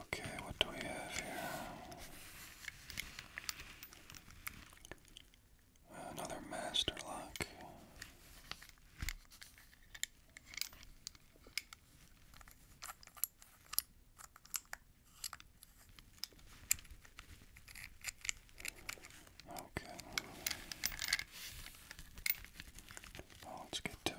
Okay, what do we have here? Another master lock. Okay. Oh, let's get to it.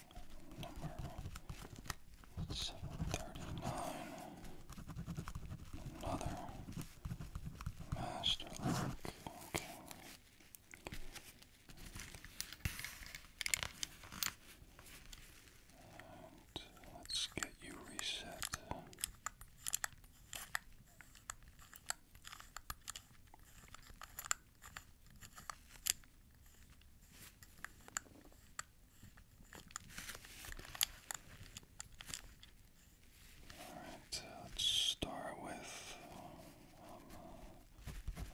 number 739. Another master link. Okay. And uh, let's get you reset. Alright, let's start with um,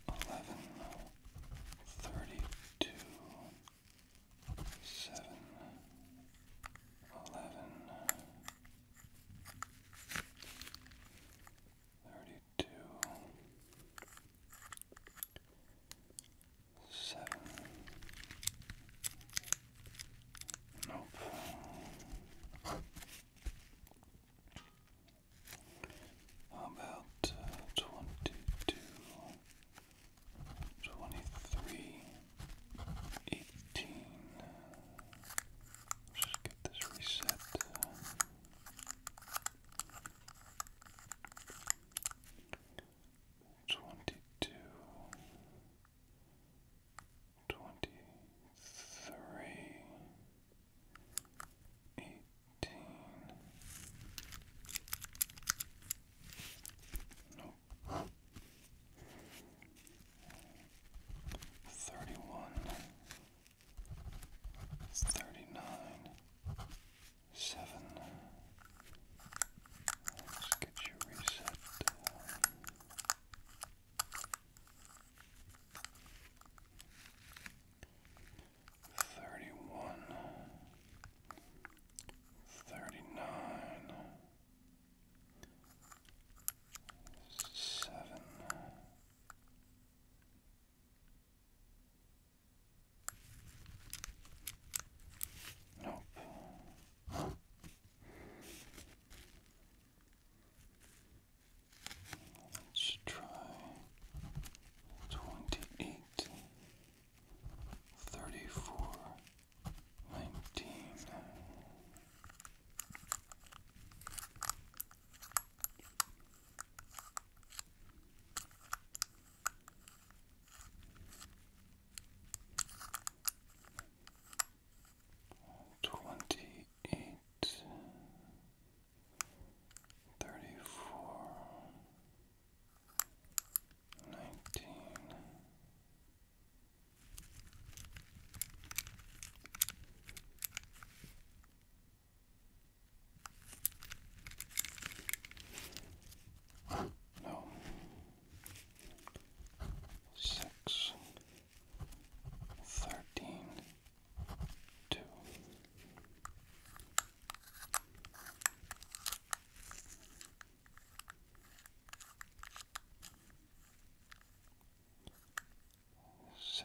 eleven thirty two seven eleven thirty two Seven. Nope. How about twenty-two, twenty-three, eighteen? Let's just get this reset. Twenty-two, twenty-three, eighteen. Nope. Thirty-one, thirty nine, seven. Let's get you reset. Uh, thirty one, thirty nine, seven. Nope. Let's try twenty-eight, thirty-four, nineteen. Twenty eight, thirty four, nineteen, no. Six, thirteen, two. Six,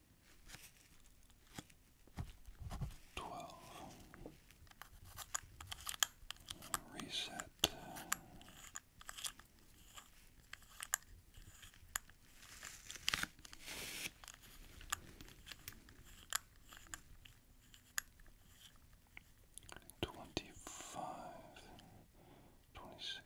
12 reset Twenty five, twenty six,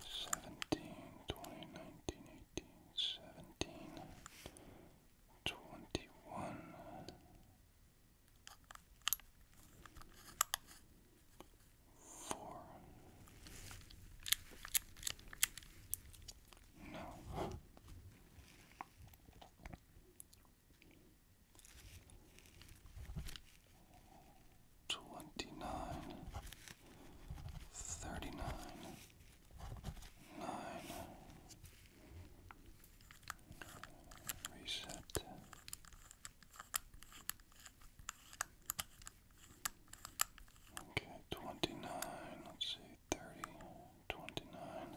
Seventeen, twenty, nineteen, eighteen, seventeen, twenty one, four. No twenty-nine, thirty-nine, nine, reset. Okay, twenty-nine, let's see, thirty, twenty-nine,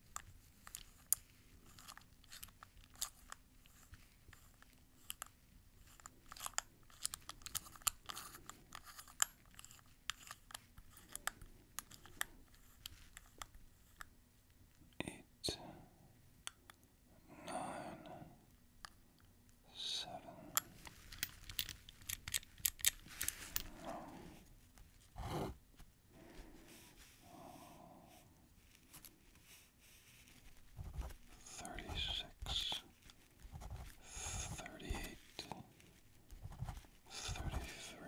Eight, nine, seven, no. Thirty-six, thirty-eight, thirty-three,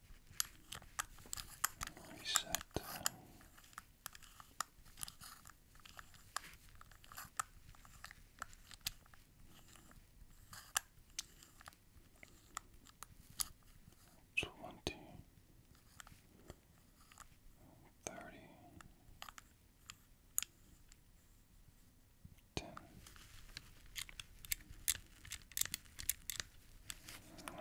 reset. Twenty, thirty, ten, Let's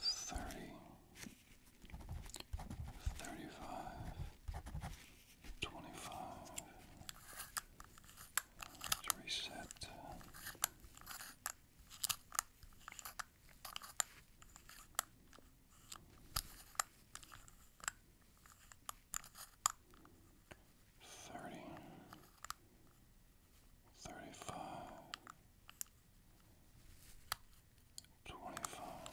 see. Thirty thirty-five, twenty-five. reset. Thirty, thirty-five, twenty-five,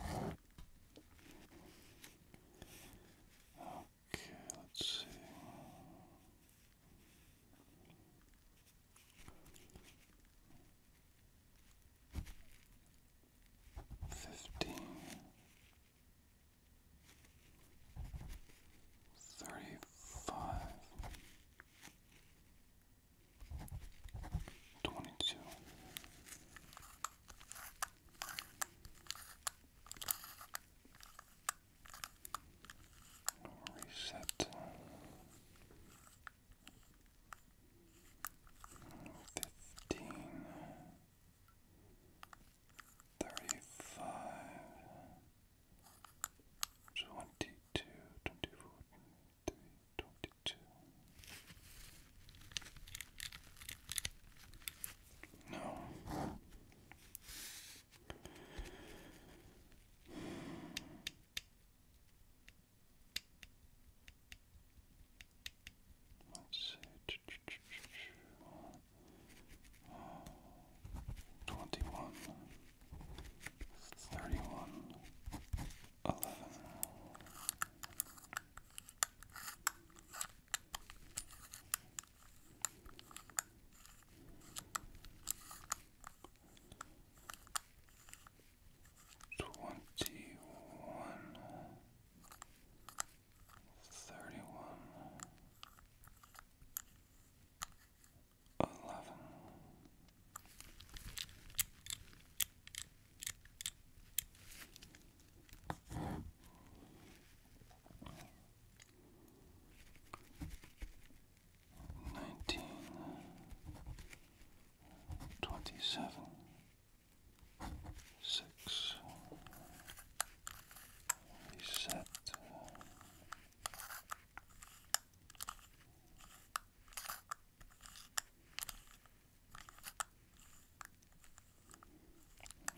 okay, let's see. Fifteen, thirty five, twenty two. Reset fifteen thirty-five, twenty-two, twenty-four, twenty-three, twenty-two. No let's see, twenty-one, thirty-one, thirty one eleven nineteen twenty seven six reset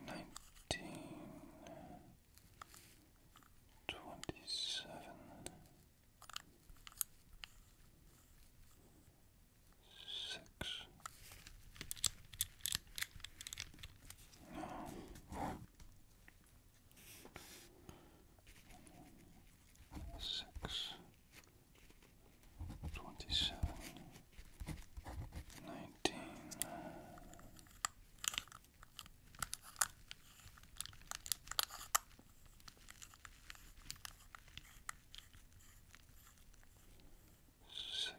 nineteen twenty seven six. No. Six, twenty-seven, nineteen, six.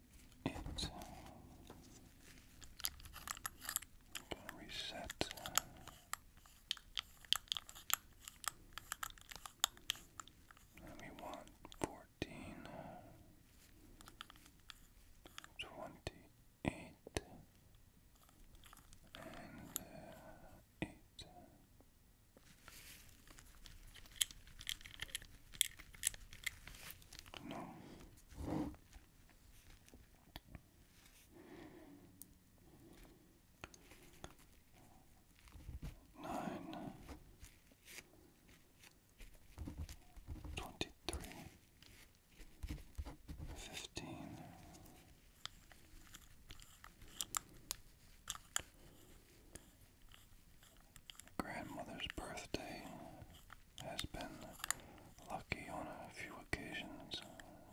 It's uh, reset. Uh, and we want fourteen twenty-eight and uh, eight. No. Nine twenty three fifteen grandmother's birthday has been lucky on a few occasions,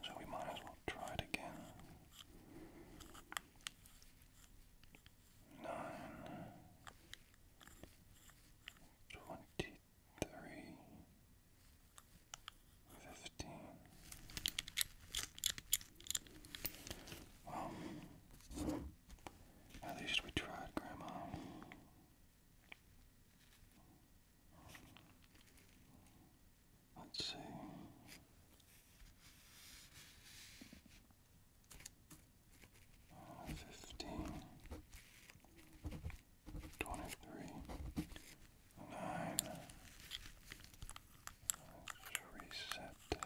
so we might as well try it again. Nine twenty three fifteen. Um at least we tried, Grandma. Let's see. Fifteen, twenty-three, reset.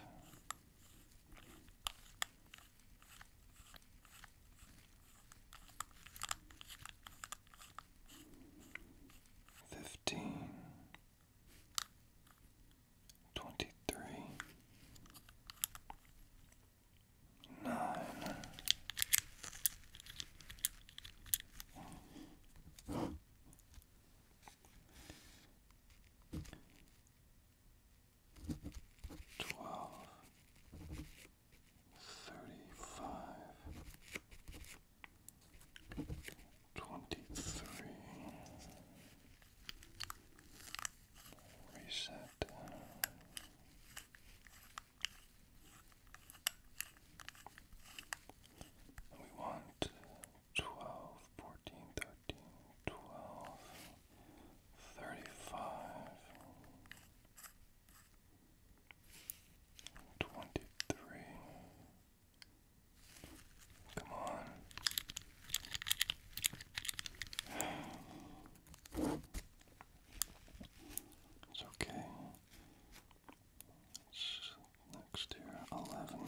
Fifteen, twenty three, nine, twelve thirty-five, twenty-three, reset. We want twelve, fourteen, thirteen, twelve thirty-five, twenty-three. Come on. It's okay. It's next year, eleven.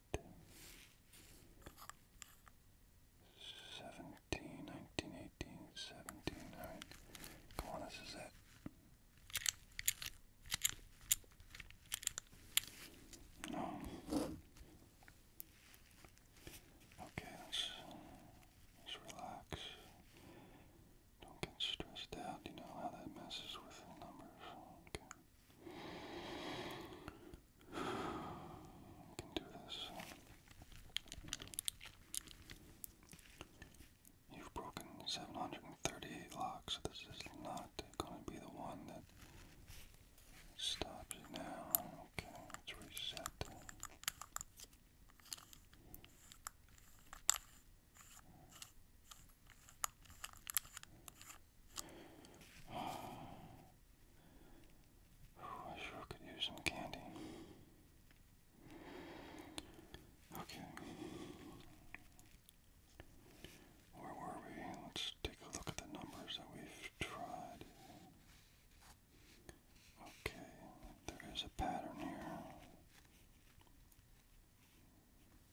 17, 19, 18, 17, alright. Come on, this is it. No. Um, okay, let's, let's relax. Don't get stressed out. You know how that messes with the numbers. Okay. You've broken 738 locks. This is not going to be the one that stops you now. Okay, let's reset. I sure could use some candy. Okay. Where were we? Let's take a look at the numbers that we've tried. Okay, there is a pattern here.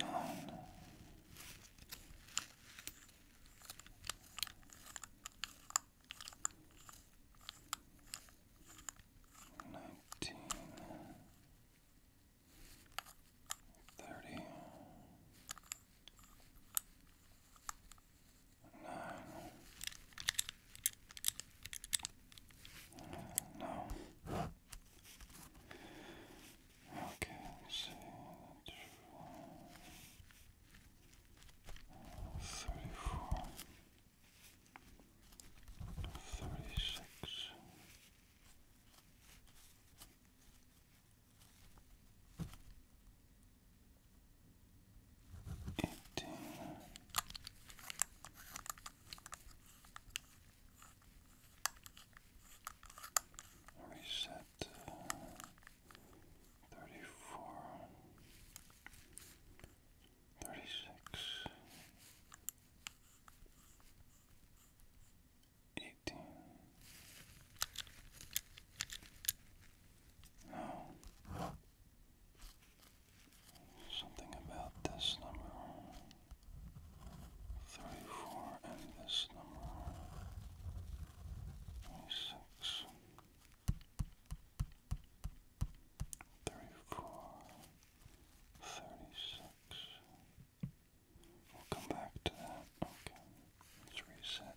Nine. Nineteen. Thirty. Nine. No. Okay, let Thirty four. Thirty six. Eighteen Reset. Uh, thirty-four. uh, thirty four, thirty six, eighteen. No. Something about this number 34 and this number 26 34 We'll come back to that. Okay. Let's reset.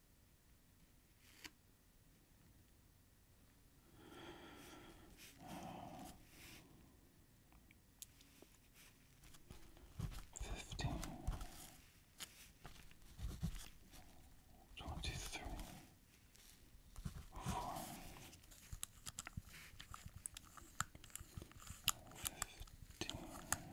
Fifteen, twenty-three, four, fifteen,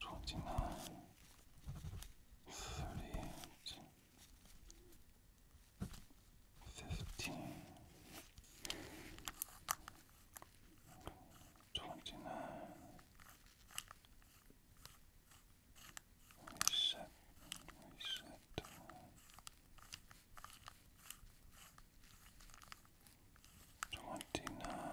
twenty nine, thirty eight, fifteen, twenty nine. Reset, reset. Twenty nine,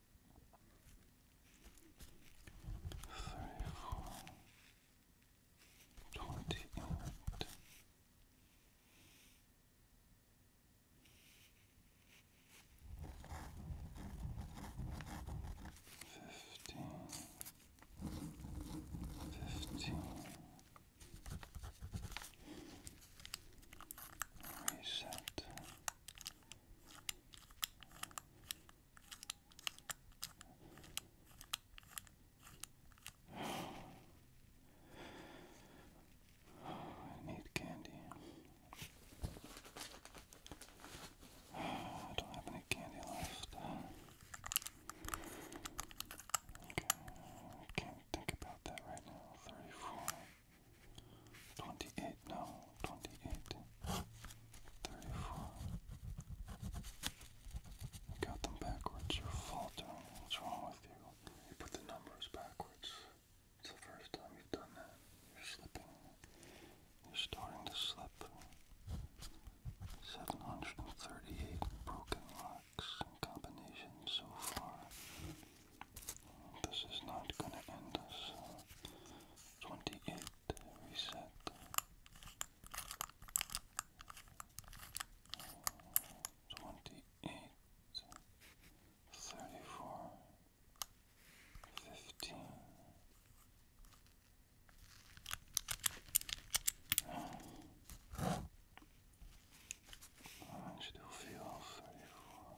Thirty four twenty eight fifteen fifteen reset I need candy. I don't have any candy left. Okay, I can't think about that right now. Thirty-four. Twenty-eight, no, twenty-eight, thirty-four. You got them backwards. You're What's wrong with you? You put the numbers backwards. It's the first time you've done that. You're slipping. You're starting to slip. Seven hundred and thirty-eight broken locks and combinations so far. This is not gonna end us. Twenty eight reset. Twenty eight thirty four fifteen. I still feel thirty four.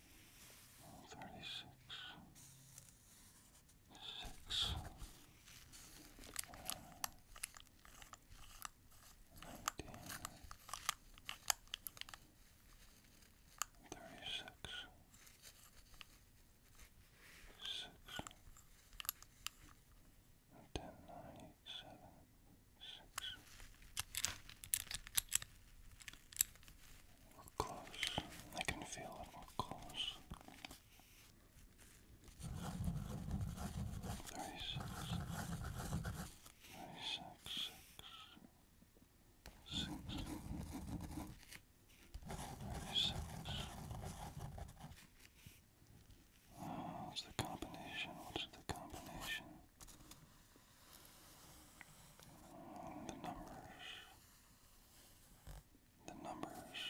Thirty-six. Six. Nineteen. Thirty-six. Six. Ten ninety-seven. Six. We're close. I can feel it. We're close. Thirty six. Thirty what's the combination? What's the combination? the numbers, the numbers,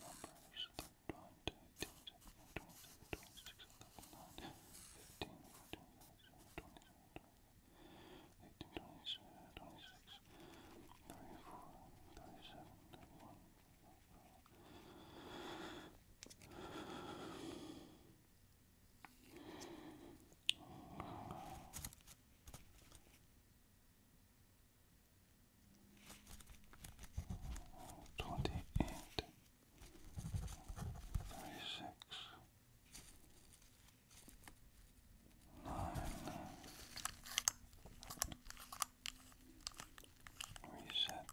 numbers, twenty, twenty, twenty, twenty-six, eleven, fifteen, fifteen, fifteen, twenty-seven, twenty-six, thirty-four, thirty-seven, thirty-one. 31, 32, 33, 34, 35, 36, 37, 38, 39, 40, 41, 42, 43, 44, 45, 46, 47, Twenty eight, thirty six, nine, reset.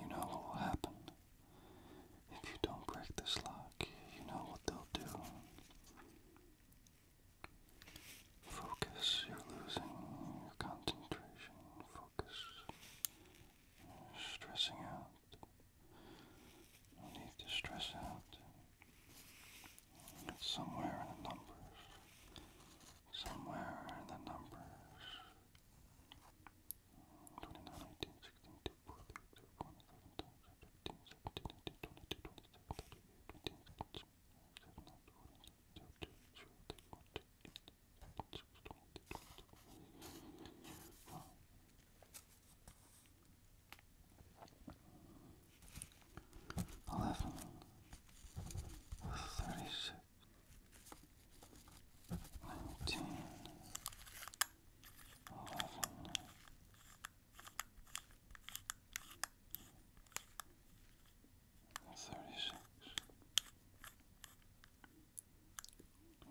You know what will happen. If you don't break this lock, you know what they'll do. Focus, you're losing your concentration. Focus, you're stressing out. No need to stress out. It's somewhere in the numbers. Somewhere in the numbers. 29, 18, nineteen, eleven, thirty-six,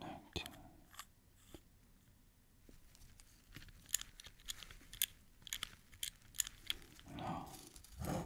nineteen. No,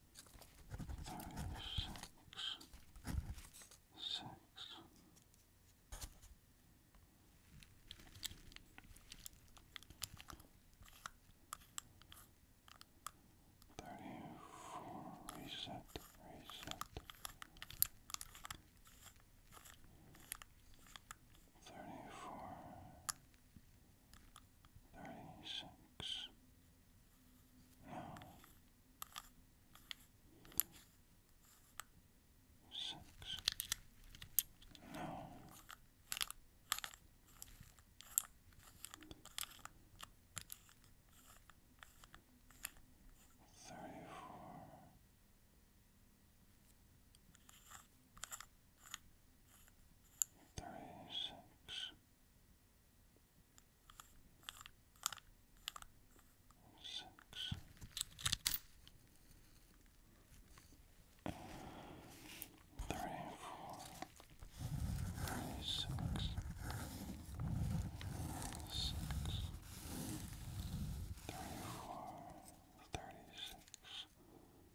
five, six, six. Thirty-four. Reset. Reset. Thirty-four thirty six. No. Six. No. Thirty four. Thirty six six. Three, four, three, six, six, three, four, thirty-six,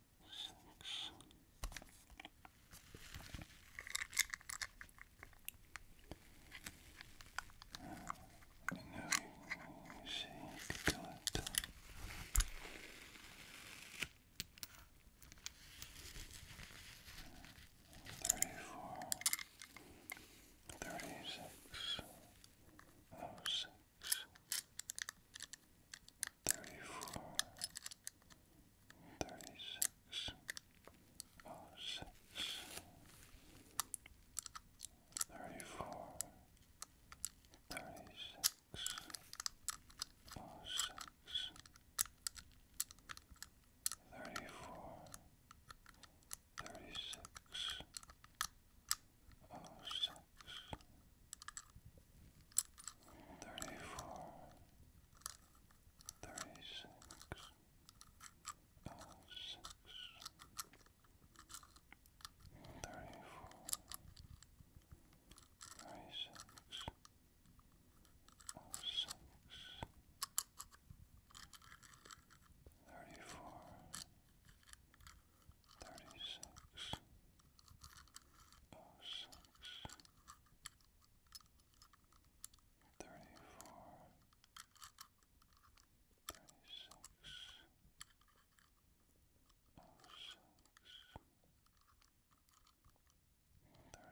six, uh, you know, you see, you can do it. Thirty-four, thirty-six, oh six, thirty four, thirty six, oh six, thirty four, thirty six, oh six, thirty four, thirty six, oh six. Thirty four, thirty six oh six thirty four thirty six oh six thirty four thirty six oh six thirty-four, thirty-six, oh six, thirty-four, thirty-six, oh six. 34